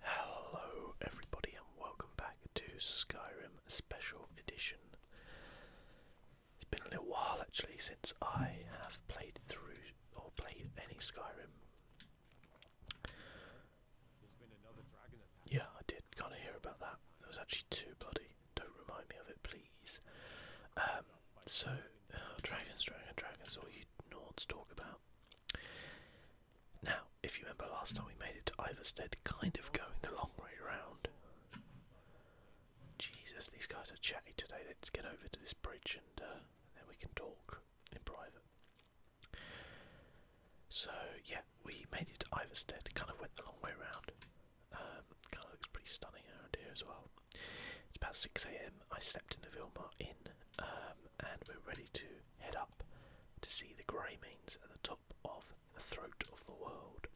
Hello, everybody, and welcome back to Skyrim Special Edition. It's been a little while actually since I have played through or played any Skyrim. Yeah, I did kind of hear about that. It was actually two, buddy. Don't remind me of it, please. Um, so, oh, dragons, dragon, dragons, all you Nords talk about. Now, if you remember last time we made it to Iverstead, kind of going the long way round. Jesus, these guys are chatty today. Let's get over to this bridge and uh, then we can talk in private. So, yeah, we made it to Iverstead, kind of went the long way round. Um, kind of looks pretty stunning around here as well. It's about 6am. I slept in the Vilmar Inn um, and we're ready to head up to see the grey means at the top of the throat of the world.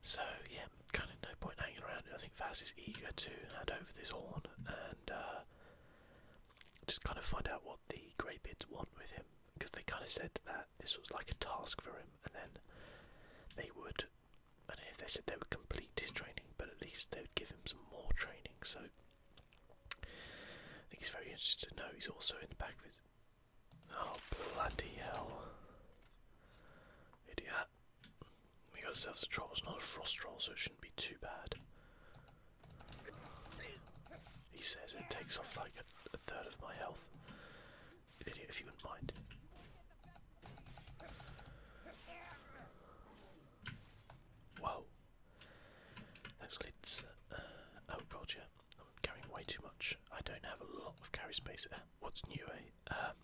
So yeah, kind of no point hanging around. I think Vaz is eager to hand over this horn and uh, just kind of find out what the Greybeards want with him, because they kind of said that this was like a task for him, and then they would. I don't know if they said they would complete his training, but at least they would give him some more training. So I think he's very interested to know he's also in the back of his. Oh, bloody hell. Idiot. We got ourselves a troll, it's not a frost troll, so it shouldn't be too bad. He says it takes off like a third of my health. Idiot, if you wouldn't mind. Whoa. That's glitz. Uh, oh god, yeah. I'm carrying way too much. I don't have a lot of carry space. Uh, what's new, eh? Um,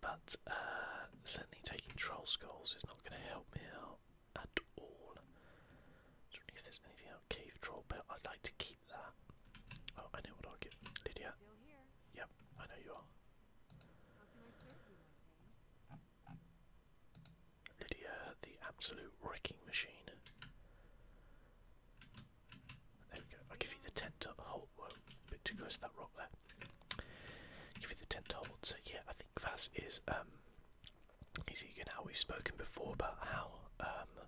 but uh, certainly taking troll skulls is not going to help me out at all. I if there's anything out. Cave troll belt. I'd like to keep that. Oh, I know what I'll get, Lydia. Yep, I know you are. Lydia, the absolute wrecking machine. There we go. I'll give you the tent to hold. Whoa, bit too close to that rock there. Give you the tent to hold. So yeah, I think that is. is um he's eager We've spoken before about how um,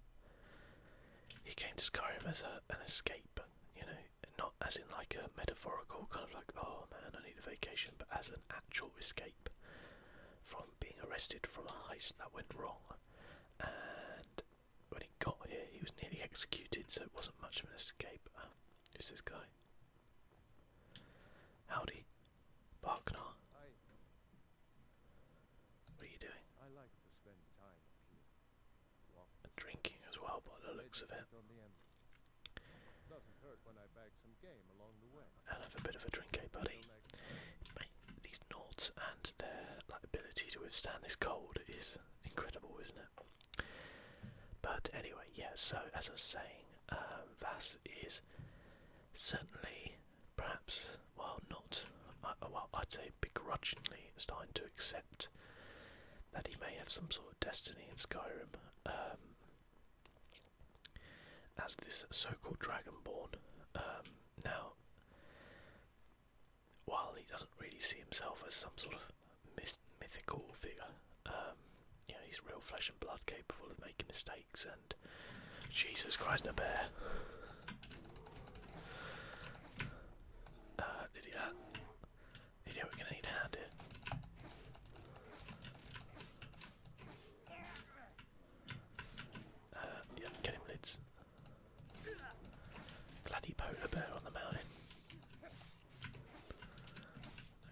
he came to Skyrim as an escape, you know, not as in like a metaphorical kind of like, oh man, I need a vacation, but as an actual escape from being arrested from a heist that went wrong. And when he got here, he was nearly executed, so it wasn't much of an escape. Um, who's this guy? Howdy, Barknar. What are you doing? I like to spend time drinking as well, by the looks of it. And have a bit of a drink, eh, buddy? these Nords and their ability to withstand this cold is incredible, isn't it? But anyway, yeah, so as I was saying, um, Vass is certainly, perhaps, well, not, uh, well, I'd say begrudgingly starting to accept that he may have some sort of destiny in Skyrim. Um, as this so-called Dragonborn. Um, now, while he doesn't really see himself as some sort of mythical figure, um, you know, he's real flesh and blood, capable of making mistakes, and Jesus Christ, no bear. Uh, did he uh, did he, we're gonna need a hand here. Uh, yeah, get him, lids. Bloody polar bear on the mountain.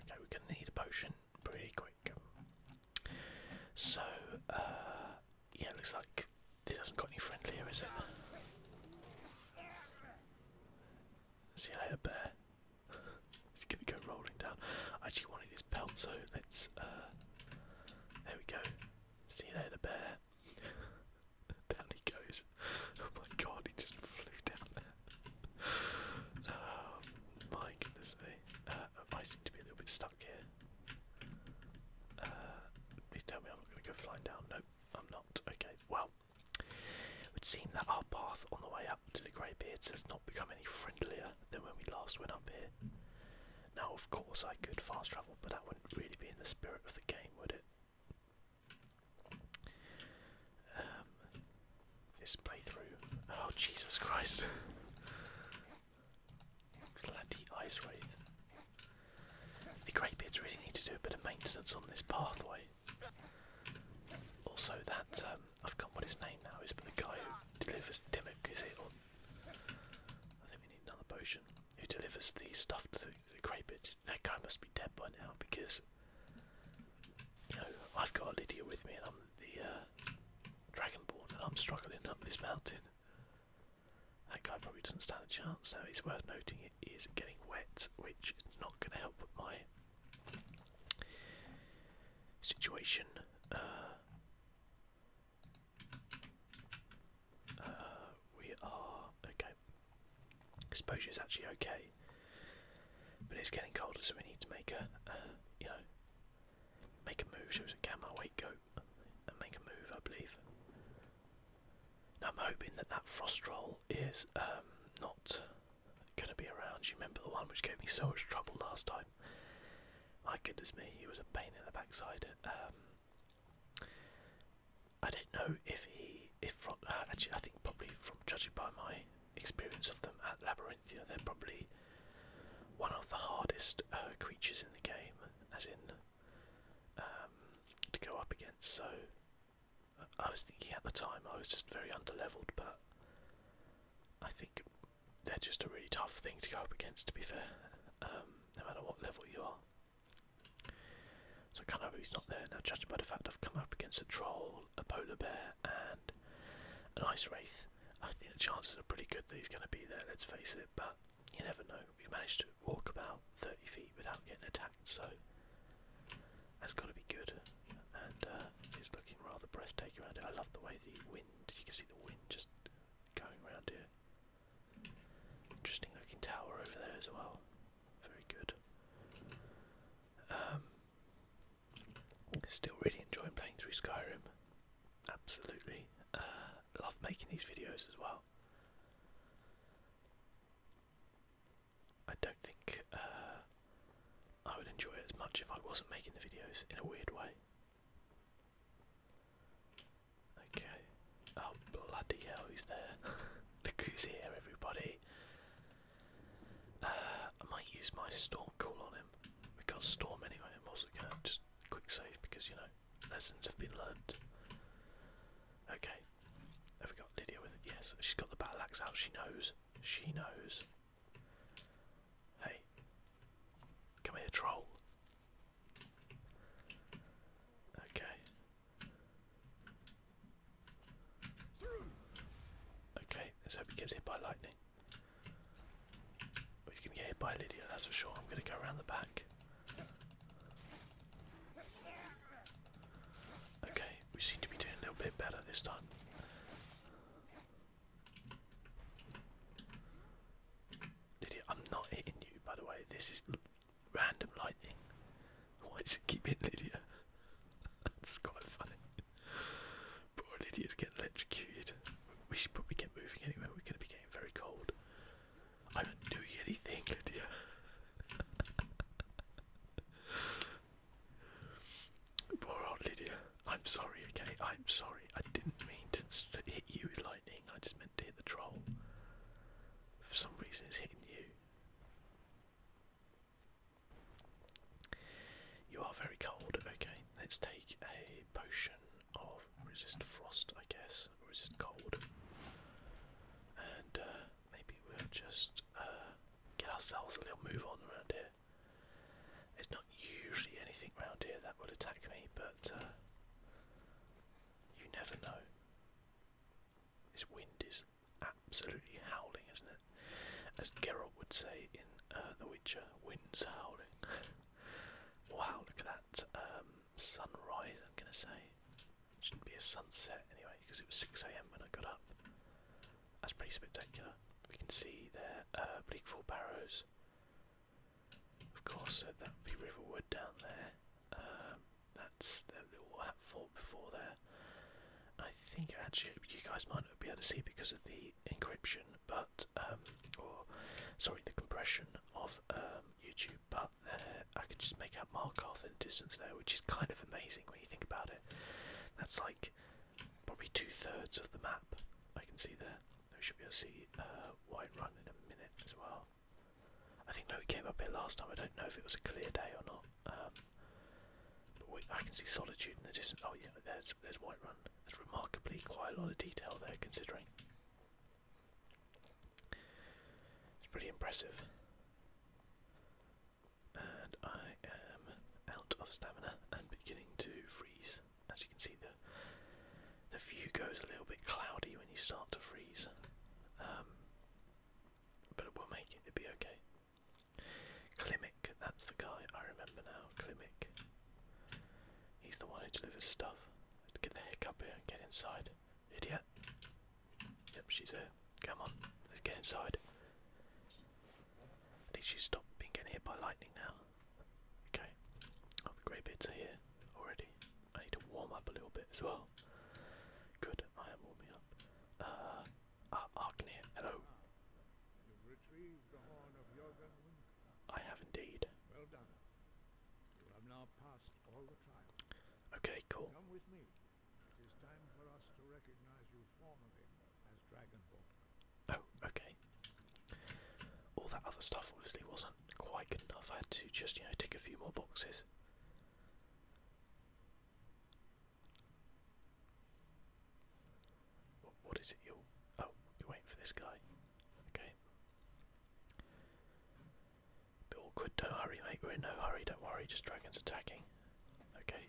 Okay, we're gonna need a potion pretty quick. So, uh, yeah, looks like this hasn't got any friendlier, is it? See you later, bear it's gonna go rolling down. I actually wanted his pelt, so let's. Uh, there we go. See you later, bear. down he goes. Oh my god, he just flew down there. oh my goodness me. Uh, I seem to be a little bit stuck here. Uh, please tell me I'm not going to go flying down. No, I'm not. Okay, well, it would seem that our path on the way up to the Greybeards has not become any friendlier than when we last went up here. Now, of course, I could fast travel, but that wouldn't really be in the spirit of the game, would it? Um, this playthrough. Oh, Jesus Christ! Bloody ice wraith. The Greybeards really need to do a bit of maintenance on this pathway. Also, that um, I've got what his name now is, but the guy who delivers Dimmock is it? Or I think we need another potion. Who delivers the stuff to the, the Crapits? That guy must be dead by now because you know I've got Lydia with me, and I'm the uh, Dragonborn, and I'm struggling up this mountain. That guy probably doesn't stand a chance now. It's worth noting he it is getting wet, which is not going to help my situation. Uh, uh, we are okay. Exposure is actually okay, but it's getting colder, so we need to make a you know make a move. So it's a gamma wake go and make a move, I believe. I'm hoping that that frost roll is um, not gonna be around. You remember the one which gave me so much trouble last time? My goodness me, he was a pain in the backside. Um, I don't know if he, if uh, actually, I think probably from judging by my experience of them at Labyrinthia, they're probably one of the hardest uh, creatures in the game, as in um, to go up against. So I was thinking at the time I was just very underleveled, but I think they're just a really tough thing to go up against, to be fair, um, no matter what level you are. So I can't hope he's not there. Now, judging by the fact I've come up against a troll, a polar bear, and an ice wraith, I think the chances are pretty good that he's going to be there, let's face it, but you never know. We've managed to walk about 30 feet without getting attacked, so that's got to be good, and uh, it's looking rather breathtaking around here. I love the way the wind—you can see the wind just going around here. Interesting looking tower over there as well. Very good. Um, still really enjoying playing through Skyrim. Absolutely. Uh, love making these videos as well. I don't think uh, I would enjoy it as much if I wasn't making the videos in a weird way. Okay. Oh, bloody hell, he's there. Look who's here, everybody. Uh, I might use my storm call on him. We got storm anyway. I'm also going to just quick save because, you know, lessons have been learned. Okay. Have we got Lydia with it? Yes. She's got the battle axe out. She knows. She knows. Hey, come here, troll. Okay. Okay, let's hope he gets hit by lightning. He's gonna get hit by Lydia, that's for sure. I'm gonna go around the back. Okay, we seem to be doing a little bit better this time. Lydia, I'm not hitting you, by the way. This is random lightning. Why does it keep hitting Lydia? That's quite funny. Poor Lydia's getting electrocuted. We should probably get moving anyway. We're going to be getting very cold. I'm not doing anything, Lydia. Poor old Lydia. I'm sorry, okay? I'm sorry. I didn't mean to hit you with lightning. I just meant to hit the troll. For some reason, it's hitting you. You are very cold. Okay, let's take a potion of resist frost, I guess, or resist cold. And uh, maybe we'll just uh, get ourselves a little move on around here. There's not usually anything round here that will attack me, but uh, you never know. This wind is absolutely howling, isn't it? As Geralt would say in uh, The Witcher, wind's howling. wow, look at that um, sunrise, I'm going to say. Shouldn't be a sunset anyway, because it was 6am when I got up. That's pretty spectacular. We can see their uh, Bleakfall Barrows. Of course, so uh, that would be Riverwood down there. Um, that's the little hatfall before there. I think actually you guys might not be able to see because of the encryption, but um, or sorry, the compression of um, YouTube. But uh, I can just make out Markarth in the distance there, which is kind of amazing when you think about it. That's like probably two thirds of the map. I can see there. We should be able to see uh, White Run in a minute as well. I think we came up here last time. I don't know if it was a clear day or not. Um, but I can see Solitude in the distance. Oh yeah, there's there's White Run. There's remarkably quite a lot of detail there, considering. It's pretty impressive and I am out of stamina and beginning to freeze. As you can see, the the view goes a little bit cloudy when you start to freeze, um, but we'll make it. It'll be okay. Klimek, that's the guy I remember now. Klimek. He's the one who delivers stuff. Let's get the heck up here and get inside. Idiot. Yep, she's there. Come on, let's get inside. I need you stop being getting hit by lightning now. Okay. Oh, the grey bits are here already. I need to warm up a little bit as well. Good, I am warming up. Uh, uh Arknir, hello. I have indeed. Well done. You have now passed all the trials. Okay, cool. Oh, okay. All that other stuff obviously wasn't quite good enough. I had to just, you know, tick a few more boxes. what is it you Oh, you're waiting for this guy. Okay. Bit awkward, don't hurry, mate. We're in no hurry, don't worry, just dragons attacking. Okay.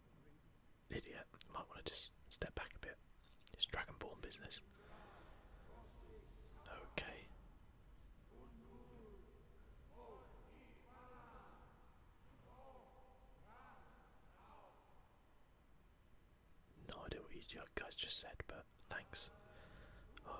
idiot. Might want to just step back a bit. It's Dragonborn business. Okay. No idea what you guys just said, but thanks. Oh.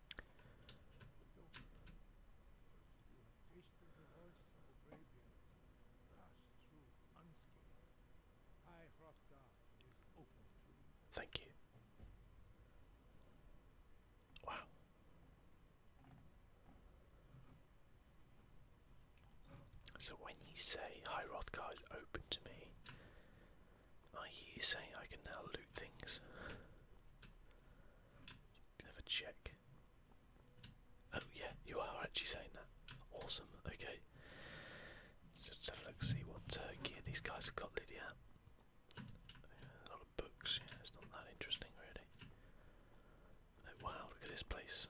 Thank you. Wow. So when you say High Rothgar is open to me, I hear you say I can now loot things. Have a check. Oh yeah, you are actually saying that. Awesome, okay. let's have a look, see what uh, gear these guys have got, Lydia. Yeah, a lot of books, yeah, it's not that interesting really. Oh, wow, look at this place.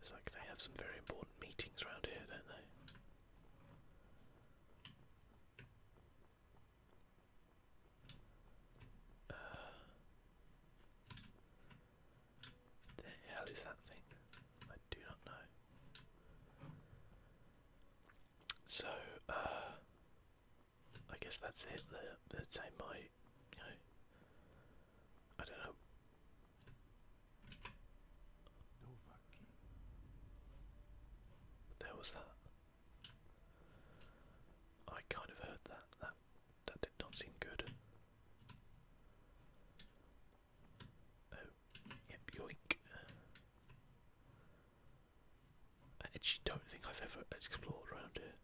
It's like they have some very important meetings around here, don't they? Uh, the hell is that thing? I do not know. So, uh, I guess that's it. The the same might, you know, I don't know. What was that? I kind of heard that. That that did not seem good. Oh, yep, yoink. I actually don't think I've ever explored around here.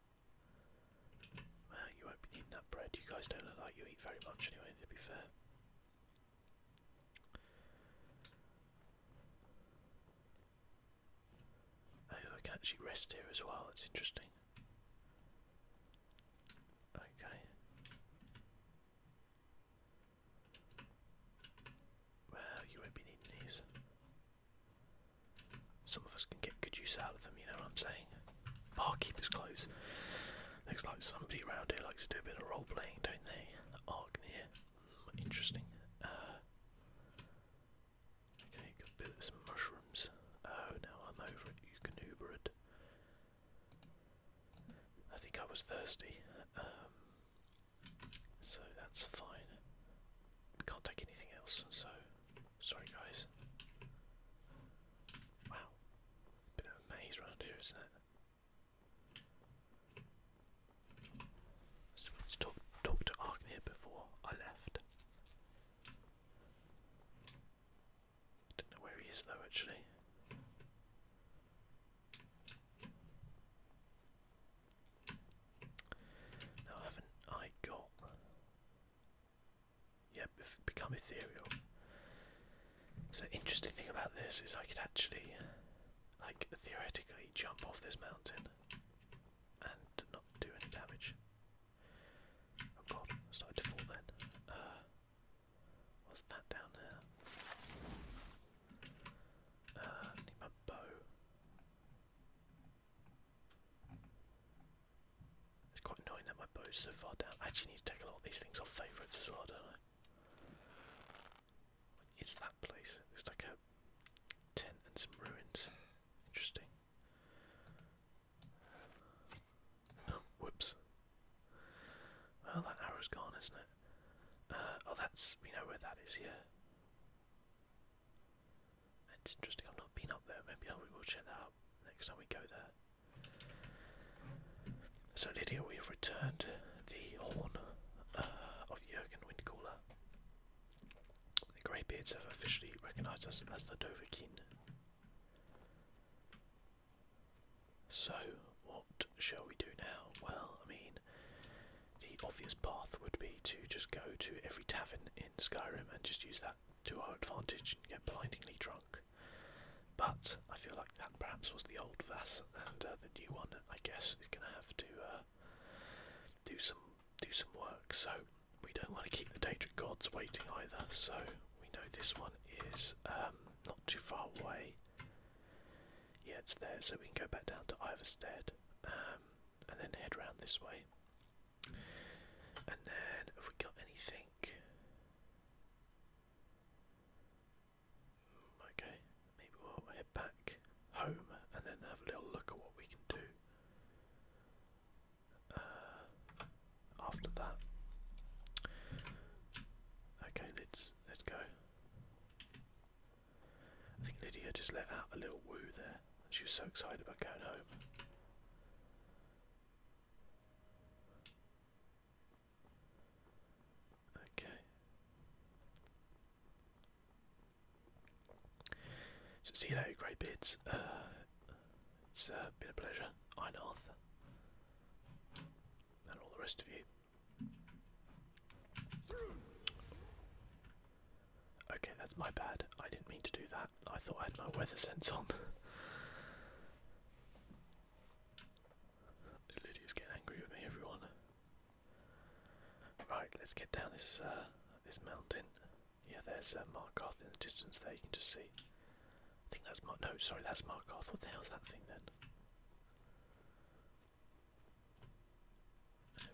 Well, you won't be needing that bread. You guys don't look like you eat very much anyway, to be fair. Oh, I can actually rest here as well, that's interesting. Okay. Well, you won't be needing these. Some of us can get good use out of them, you know what I'm saying? Barkeeper's clothes. Looks like somebody around here likes to do a bit of role playing, don't they? Argnear. Interesting. Uh, okay, got a bit of some mushrooms. Oh, now I'm over it. You I think I was thirsty, um, so that's fine. Can't take anything else, so sorry, guys. Wow, bit of maze around here, isn't it? So to Arknir before I left. Don't know where he is though actually. Now haven't I got Yeah, become ethereal. So the interesting thing about this is I could actually like theoretically jump off this mountain and not do any damage. Oh god, started to fall then. Uh, what's that down there? Uh, need my bow. It's quite annoying that my bow's so far down. I actually need to take a lot of these things off favourites as well, don't I? What is that place? It's like a tent and some ruins. Interesting. whoops. Well, that arrow's gone, isn't it? Uh, oh, that's. We know where that is, here. It's interesting, I've not been up there. Maybe I will check that out next time we go there. So Lydia, we've returned the horn uh, of Jurgen Windcaller. The Greybeards have officially recognised us as the Dovakin. So, what shall we do now? Well, I mean, the obvious path would be to just go to every tavern in Skyrim and just use that to our advantage and get blindingly drunk. But I feel like that perhaps was the old Vass and uh, the new one I guess is going to have to uh, do some do some work. So we don't want to keep the Daedric gods waiting either. So we know this one is um, not too far away. Yeah, it's there, so we can go back down to Iverstead um, and then head around this way. And then, have we got anything? Okay, maybe we'll head back home and then have a little look at what we can do uh, after that. Okay, let's let's go. I think Lydia just let out a little woo there. She was so excited about going home. Okay. So see you later, great beards. Uh, it's uh, been a pleasure. I'm and all the rest of you. Okay, that's my bad. I didn't mean to do that. I thought I had my weather sense on. Lydia's getting angry with me, everyone. Right, let's get down this uh, this mountain. Yeah, there's uh, Markarth in the distance there, you can just see. I think that's Mark. No, sorry, that's Markarth. What the hell's that thing then?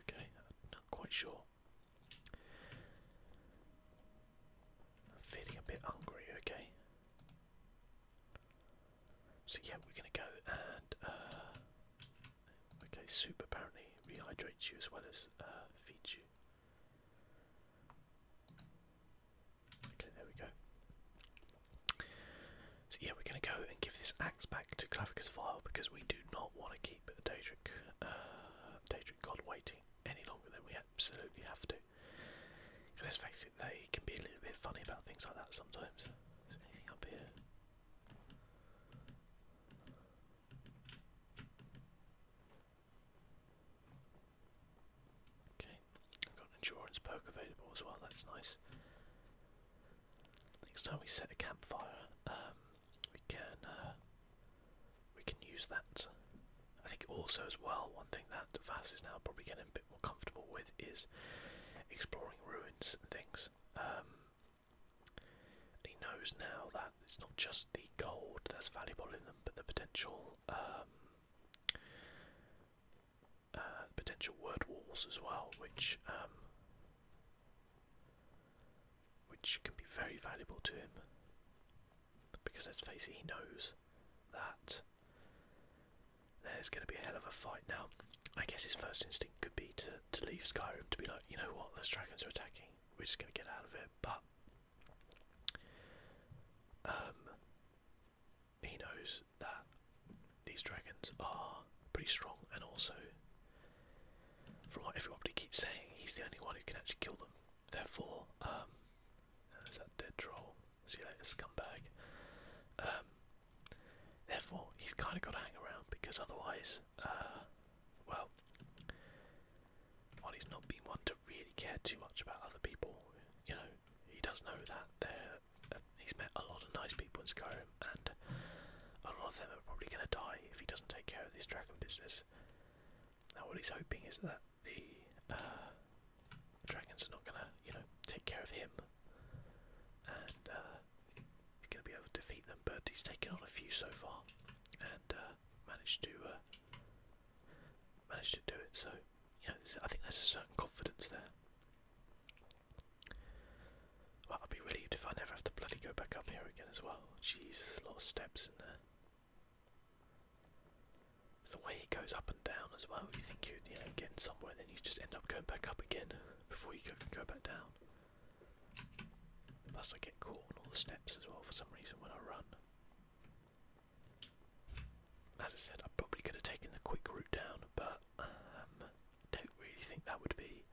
Okay, not quite sure. I'm feeling a bit hungry, okay? So yeah, we're gonna go and uh, okay, soup apparently rehydrates you as well as uh, feeds you. Okay, there we go. So yeah, we're gonna go and give this axe back to Clavicus File because we do not want to keep Daedric, uh, Daedric God waiting any longer than we absolutely have to. Because let's face it, they can be a little bit funny about things like that sometimes. up here? Okay, I've got an endurance perk available as well, that's nice. Next time we set a campfire, um, we can uh, we can use that. I think also as well, one thing that Vass is now probably getting a bit more comfortable with is exploring ruins and things. Um, he knows now that it's not just the gold that's valuable in them, but the potential um, uh, potential word walls as well, which um, which can be very valuable to him. Because let's face it, he knows that there's going to be a hell of a fight now. I guess his first instinct could be to, to leave Skyrim, to be like, you know what, those dragons are attacking, we're just going to get out of it, but um, he knows that these dragons are pretty strong, and also, from what everybody keeps saying, he's the only one who can actually kill them. Therefore, um, there's that dead troll. See you later, scumbag. Um, Therefore, he's kind of got to hang around because otherwise, uh, well, while he's not been one to really care too much about other people, you know, he does know that they're, uh, he's met a lot of nice people in Skyrim, and a lot of them are probably going to die if he doesn't take care of this dragon business. Now, what he's hoping is that the uh, dragons are not going to, you know, take care of him, he's going to be able to defeat them. But he's taken on a few so far, and uh, managed to uh, to do it. So you I think there's a certain confidence there. Well, I'd be relieved if I never have to bloody go back up here again as well. Jesus, a lot of steps in there. It's the way he goes up and down as well. You think you are you know, get somewhere, then you just end up going back up again before you go, go back down. Plus I get caught on all the steps as well for some reason when I run. As I said, I probably could have taken the quick route down, but um, don't really think that would be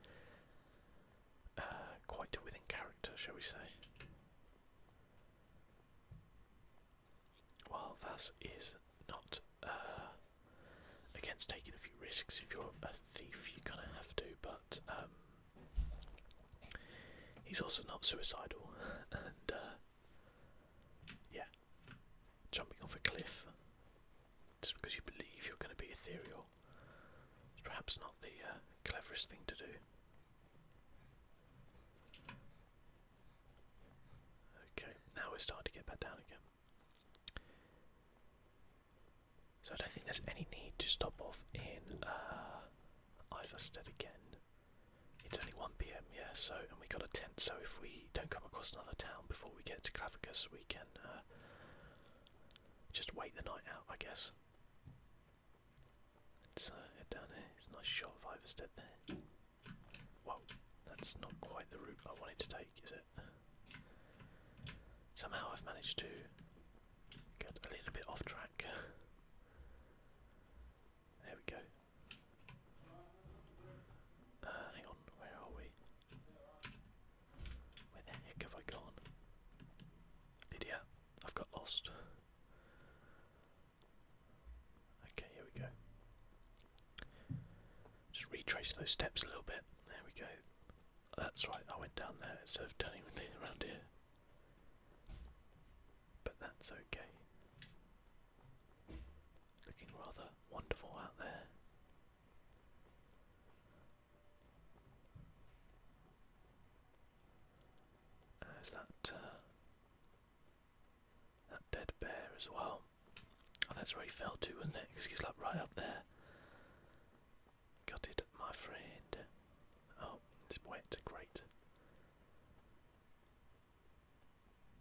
uh, quite within character, shall we say. Well, that is not uh, against taking a few risks. If you're a thief, you kind of have to, but um, he's also not suicidal. and uh, yeah, jumping off a cliff just because you believe you're going to be ethereal is perhaps not the uh, cleverest thing to do. Okay, now we're starting to get back down again. So I don't think there's any need to stop off in uh, Iverstead again. It's only 1pm, yeah, so, and we got a tent, so if we don't come across another town before we get to Clavicus, we can uh, just wait the night out, I guess. Let's head uh, down here. It's a nice shot of Iverstead there. Whoa, that's not quite the route I wanted to take, is it? Somehow I've managed to get a little bit off track. There we go. Uh, hang on, where are we? Where the heck have I gone? Lydia, I've got lost. Okay, here we go. Just retrace those steps a little bit. There we go. That's right, I went down there instead of turning around here. But that's okay. Looking rather wonderful out there. There's uh, that, uh, that dead bear as well. Oh, that's where he fell to, wasn't it? Because he's like right up there. Got it, my friend. Oh, it's wet. Great.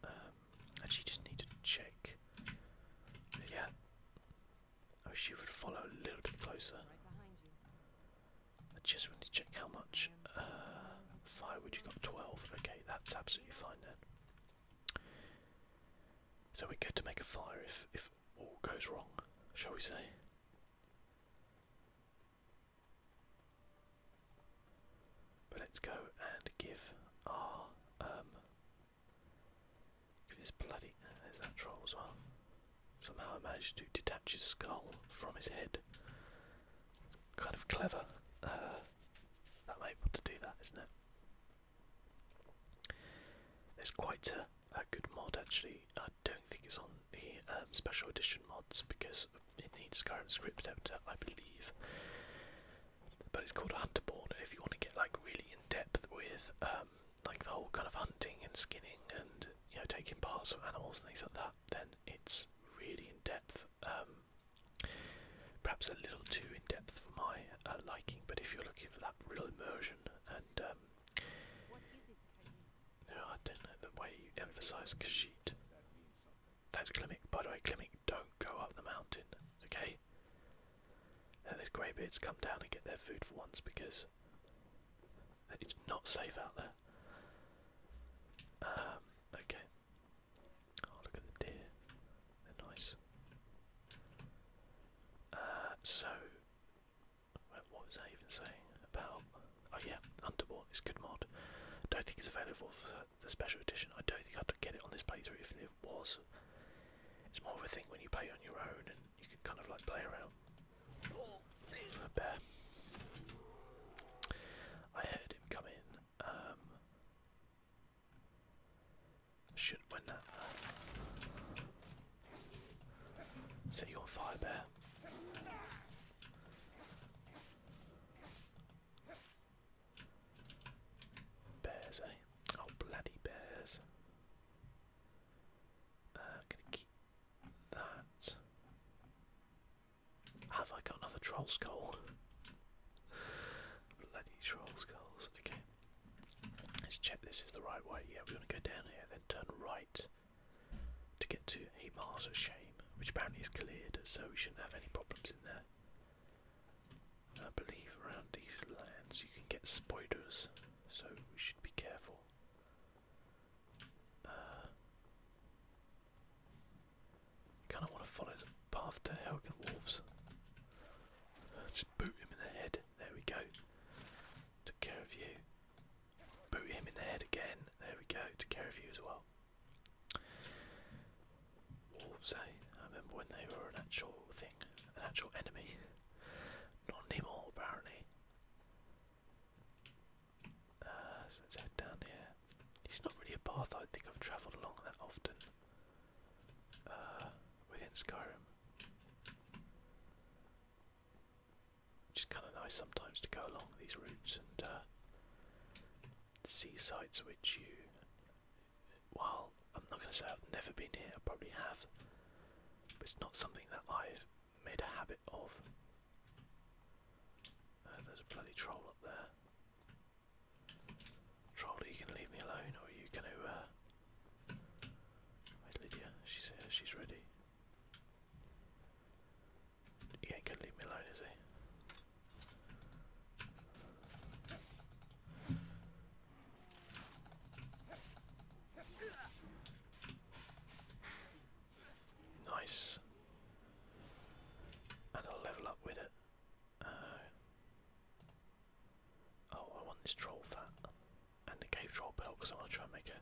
Um, actually, just need to check. Yeah. I wish you would follow a little bit closer. I just want to check how much uh, firewood you got. 12. Okay, that's absolutely fine then. So we're good to make a fire if if all goes wrong, shall we say? But let's go and give our um, give this bloody uh, there's that troll as well. Somehow I managed to detach his skull from his head. Kind of clever. Uh, able to do that, isn't it? There's quite a, good mod actually. I don't think it's on the um, special edition mods because it needs Skyrim script editor, I believe. But it's called Hunterborn, and if you want to get like really in depth with um, like the whole kind of hunting and skinning and you know taking parts from animals and things like that, then it's really in depth. Um, perhaps a little too in depth for my uh, liking. But if you're looking for that real immersion and um, I don't know the way you emphasise Kashit. That's Klimek. By the way, Klimek, don't go up the mountain, okay? Now those greybeards come down and get their food for once because it's not safe out there. Um, okay. Oh, look at the deer. They're nice. Uh, so, what was I even saying about? Oh yeah, Underwater is good mod. Don't think it's available for the special edition. I don't think I'd get it on this playthrough if it was. It's more of a thing when you play on your own and you can kind of like play around. A bear. I heard him come in. Um, should win that. Set you on fire, bear. Bears, eh? Oh, bloody bears. Uh, gonna keep that. Have I got another troll skull? bloody troll skulls, okay. Let's check this is the right way. Yeah, we're going to go down here, then turn right to get to a Mars of Shame, which apparently is cleared, so we shouldn't have any problems in there. I believe around these lands you can get spiders, so we should be careful. Uh, kind of want to follow the path to Helgen Wolves boot him in the head. There we go. Took care of you. Boot him in the head again. There we go. Took care of you as well. Wolves, eh? I remember when they were an actual thing, an actual enemy. Not anymore, apparently. let's uh, head down here. It's not really a path I think I've travelled along that often. Uh, within Skyrim. Which kind of nice sometimes to go along these routes and uh, see sites which you. Well, I'm not going to say I've never been here, I probably have, but it's not something that I've made a habit of. Uh, there's a bloody troll up there. Troll, are you gonna leave me alone or are you gonna uh Lydia? She's here, uh, she's ready. He ain't gonna leave me alone, is he? Nice. And I'll level up with it. Uh, Oh, I want this troll fat and the cave troll belt because I want to try and make a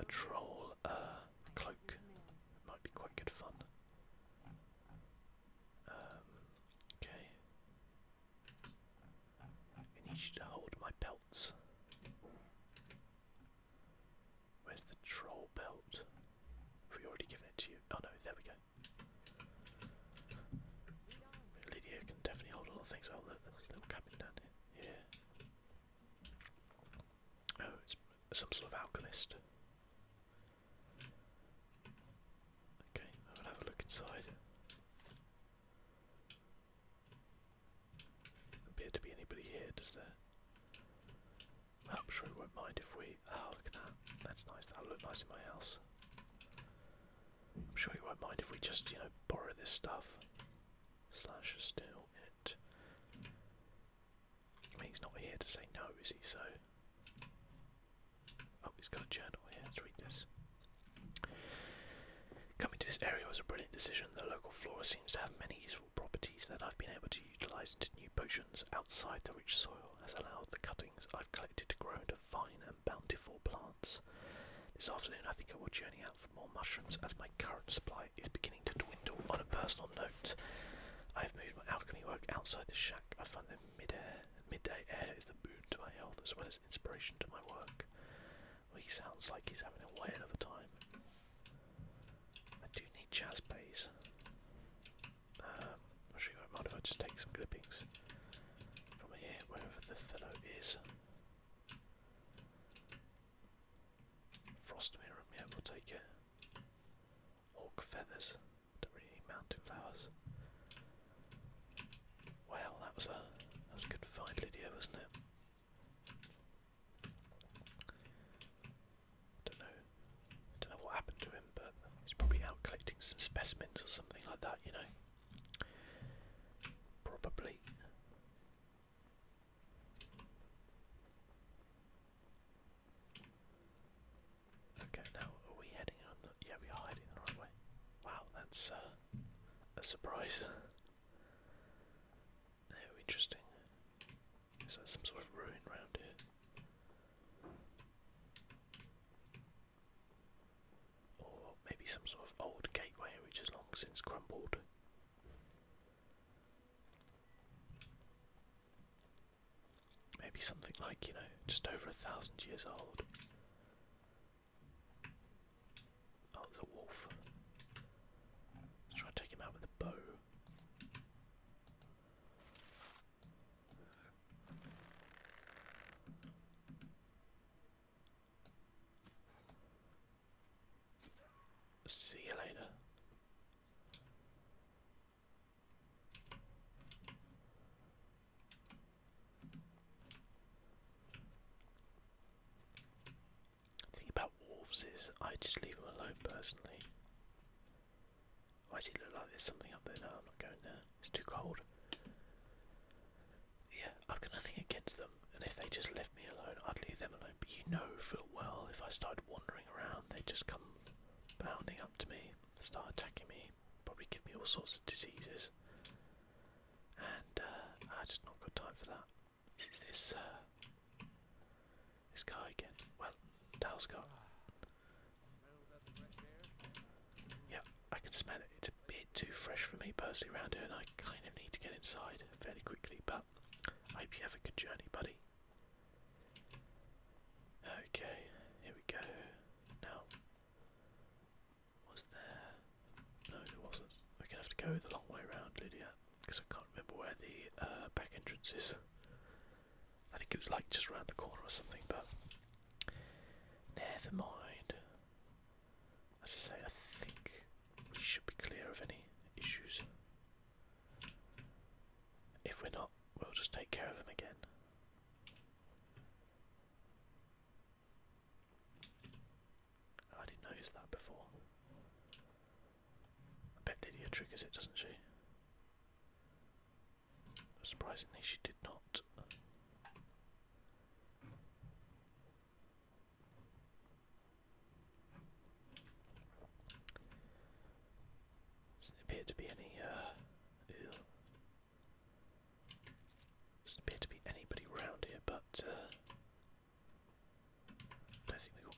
a troll uh, cloak. might be quite good fun. Um, okay. I need you to hold my belts. Where's the troll belt? Have we already given it to you? Oh no, there we go. Lydia can definitely hold a lot of things. Oh look, little cabin down here. Oh, it's some sort of alchemist. Okay, I will have a look inside. does to be anybody here, does there? I'm sure he won't mind if we. Oh, look at that. That's nice. That'll look nice in my house. I'm sure you won't mind if we just, you know, borrow this stuff. Slash steal it. he's not here to say no, is he? So. Oh, he's got a journal here. Let's read this. Coming to this area was a brilliant decision. The local flora seems to have many useful properties that I've been able to utilise into new potions outside the rich soil has allowed the cuttings I've collected to grow into fine and bountiful plants. This afternoon, I think I will journey out for more mushrooms as my current supply is beginning to dwindle. On a personal note, I have moved my alchemy work outside the shack. I find that midair, midday air is the boon to my health as well as inspiration to my work. he sounds like he's having a whale of a time. I do need jazz bass. I'm sure you won't mind if I just take some clippings from here, wherever the fellow is. Frost Mirror, yeah, we'll take it. Hawk Feathers, do really mountain flowers. Well, that was a, that was a good find, Lydia, wasn't it? Don't know, don't know what happened to him, but he's probably out collecting some specimens or something like that, you know. Probably. Okay, now are we heading on the yeah we are heading the right way. Wow, that's uh, a surprise. no, interesting. Is there some sort of ruin round here? Or maybe some sort of old gateway which has long since crumbled. Maybe something like, you know, just over a thousand years old. Oh, there's a wolf. Let's try and take him out with a bow. See you later. thing about wolves is I just leave them alone personally. Why does he look like there's something up there? No, I'm not going there. It's too cold. Yeah, I've got nothing against them, and if they just left me alone, I'd leave them alone. But you know full well, if I start wandering around, they just come bounding up to me, start attacking me, probably give me all sorts of diseases. And uh, I just not got time for that. This is this uh, this guy again. Well, Dale's gone. Yeah, I can smell it. It's a bit too fresh for me personally around here, and I kind of need to get inside fairly quickly. But I hope you have a good journey, buddy. Okay, here we go. Now, was there? No, there wasn't. We're gonna have to go the long way around, Lydia, because I can't remember where the uh, back entrance is. I think it was like just around the corner or something, but Never mind. As I say, I think we should be clear of any issues. If we're not, we'll just take care of them again. I didn't notice that before. I bet Lydia triggers it, doesn't she? Surprisingly, she did not. Doesn't appear to be any. Uh, Doesn't appear to be anybody around here, but uh, don't think we got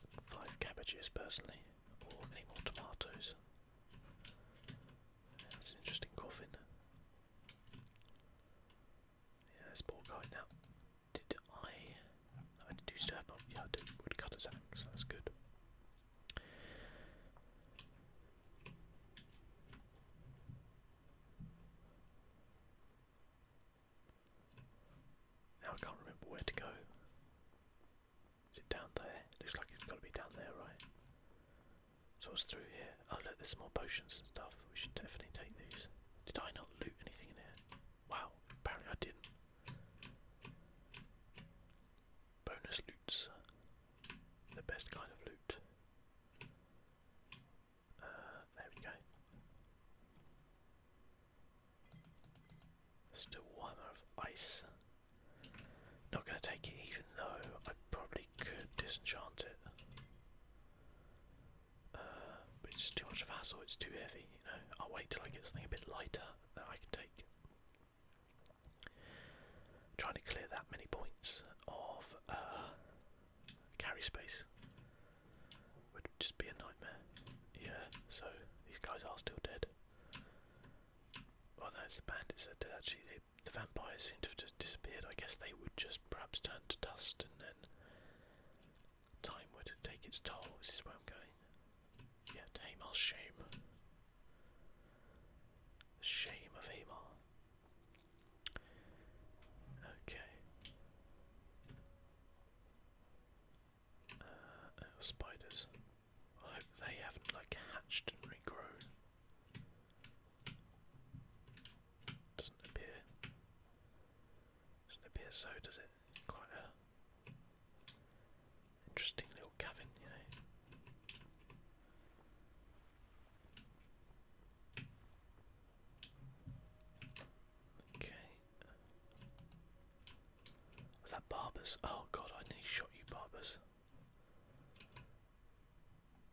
five cabbages personally, or any more tomatoes. That's an interesting coffin. Yeah, this poor guy. Now, did I... I do still Yeah, I did woodcutter's axe, that's good. Now I can't remember where to go. Is it down there? Looks like it's got to be down there, right? So it's through here? Oh look, there's more potions and stuff. We should definitely take these. Did I not loot anything in here? Wow, apparently I didn't. Bonus loots. The best kind of loot. Uh, there we go. Just warmer of ice. Not going to take it even though I probably could disenchant it. Uh, it's too much of a hassle, it's too heavy, you know. I'll wait till I get something a bit lighter that I can take. trying to clear that many points of uh, carry space would just be a nightmare. Yeah, so these guys are still dead. Well, the bandits that dead actually the vampires seem to have just disappeared. I guess they would just perhaps turn to dust and then time would take its toll. This Is where I'm going? Yeah, to Hamar's shame. shame of Hamar. Okay. Uh, oh, spiders. I hope they haven't like hatched and regrown. Doesn't appear. Doesn't appear so, does it? quite a interesting little cabin, you know. Okay. that Barbers? Oh god, I nearly shot you, Barbers.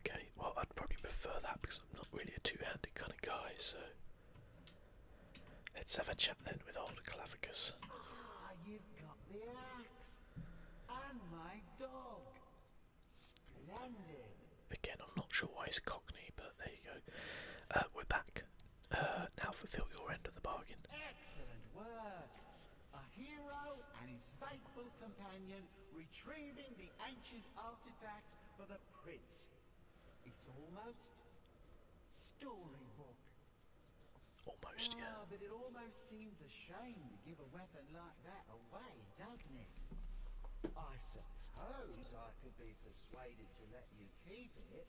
Okay, well, I'd probably prefer that because I'm not really a two handed kind of guy, so. Let's have a chat then with old Clavicus. Ah, you've got the axe and my dog. Splendid. Again, I'm not sure why he's Cockney, but there you go. Uh, we're back. Uh, now fulfil your end of the bargain. Excellent work. A hero and his faithful companion retrieving the ancient artifact for the prince. It's almost storybook. Almost, yeah. Ah, but it almost seems a shame to give a weapon like that away, doesn't it? I suppose I could be persuaded to let you keep it.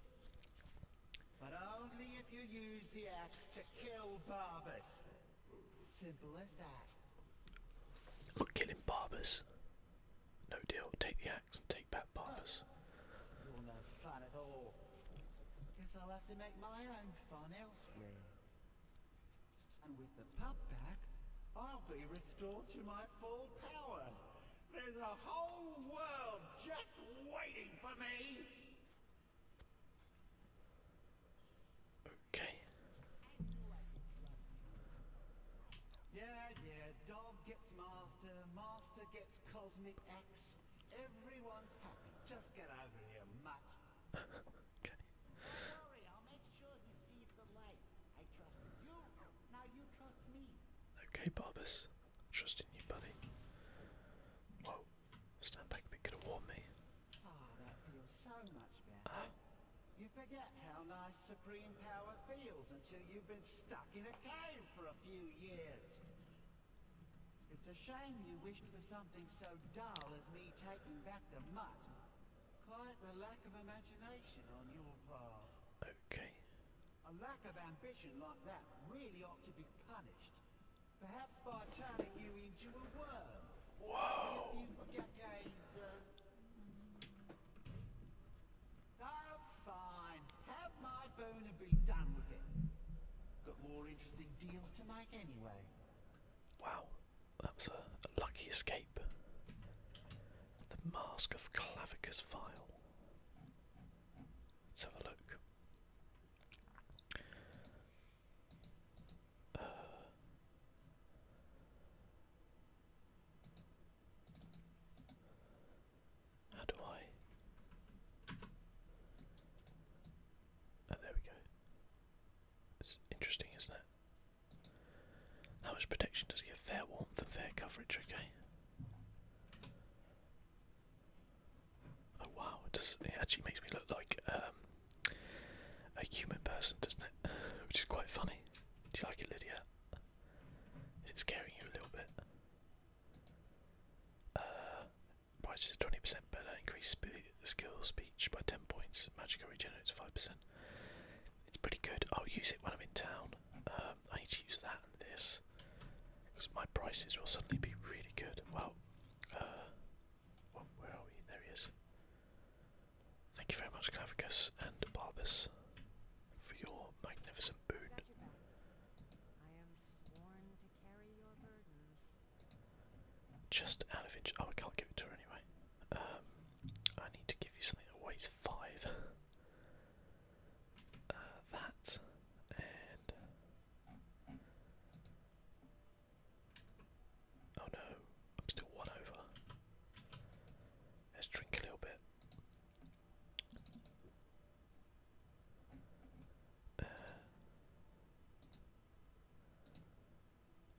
But only if you use the axe to kill Barbas. Look, killing barbers. No deal. Take the axe and take back barbers. I'll be restored to my full power. There's a whole world just waiting for me. Okay. Yeah, gets master, master gets cosmic axe. Everyone's happy. Just get over here, mutt. okay. Barbus. Trusting you, buddy. Whoa. Stand back a bit, could have warned me. Ah, you forget how nice supreme power feels until you've been stuck in a cave for a few years. It's a shame you wished for something so dull as me taking back the mutt. Quite a lack of imagination on your part. Okay. A lack of ambition like that really ought to be punished. Perhaps by turning you into a worm. Whoa. Oh, fine. Have my bone and be done with it. Got more interesting deals to make anyway. Wow, that was a, lucky escape. The Mask of Clavicus Vile. Let's have a look. Uh, how do I? Oh, there we go. It's interesting, isn't it? How much protection does it give? Fair warmth and fair coverage, okay. Oh wow, it, actually makes me look like um, a human person, doesn't it? Which is quite funny. Do you like it, Lydia? Is it scaring you a little bit? Uh, price is 20% better. Increase skill speech by 10 points. Magicka regenerates 5%. It's pretty good. I'll use it when I'm in town. Um, I need to use that and this. Because my prices will suddenly be really good. well, uh, where are we? There he is. Thank you very much, Clavicus and Barbus, for your magnificent boon. Just out of inch. Oh, I can't give it to her anyway. Um, I need to give you something that weighs five. Uh, that and Oh no, I'm still one over. Let's drink a little bit. Uh,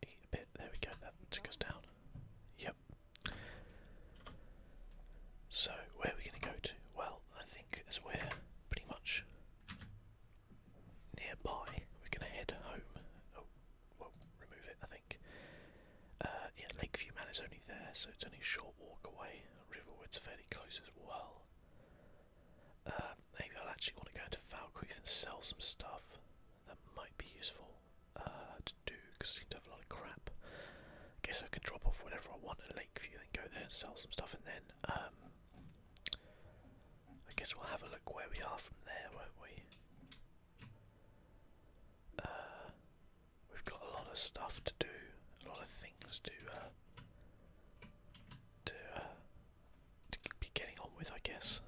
eat a bit. There we go. That took us down. Yep. So where are we going to go to? Well, I think as we're pretty much nearby, we're going to head home. Oh, well, remove it. I think think. Uh, Lakeview Man is only there, so it's only a short walk away. Riverwood's fairly close as well. Uh, maybe I'll actually want to go into Falkreath and sell some stuff. That might be useful uh, to do because I seem to have a lot of crap. guess I can drop off whatever I want at Lakeview, then go there and sell some stuff, and then um, I guess we'll have a look where we are from there, won't we? Uh, we've got a lot of stuff to do, a lot of things to uh, to, uh, to be getting on with, I guess.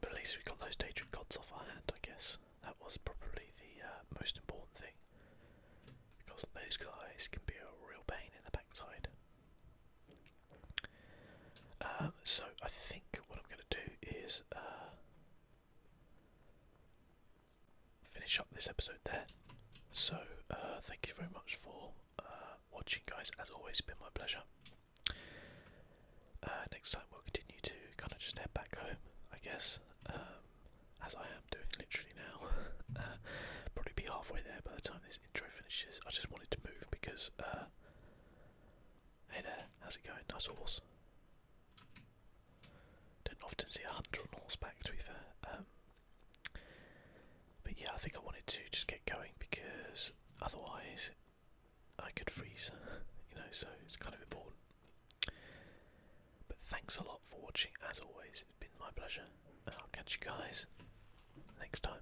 But at least we got those Daedric gods off our hand, I guess. That was probably the most important thing. Because those guys can be a real pain in the backside. Uh, so I think what I'm going to do is uh, finish up this episode there. So uh, thank you very much for watching, guys. As always, been my pleasure. next time we'll continue to kind of just head back home, I guess, um, as I am doing literally now. probably be halfway there by the time this intro finishes. I just wanted to move because Hey there, how's it going? Nice horse. Don't often see a hunter on horseback, to be fair. Um, but yeah, I think I wanted to just get going because otherwise I could freeze, you know, so it's kind of important. But thanks a lot for watching, as always. It's been my pleasure, and I'll catch you guys next time.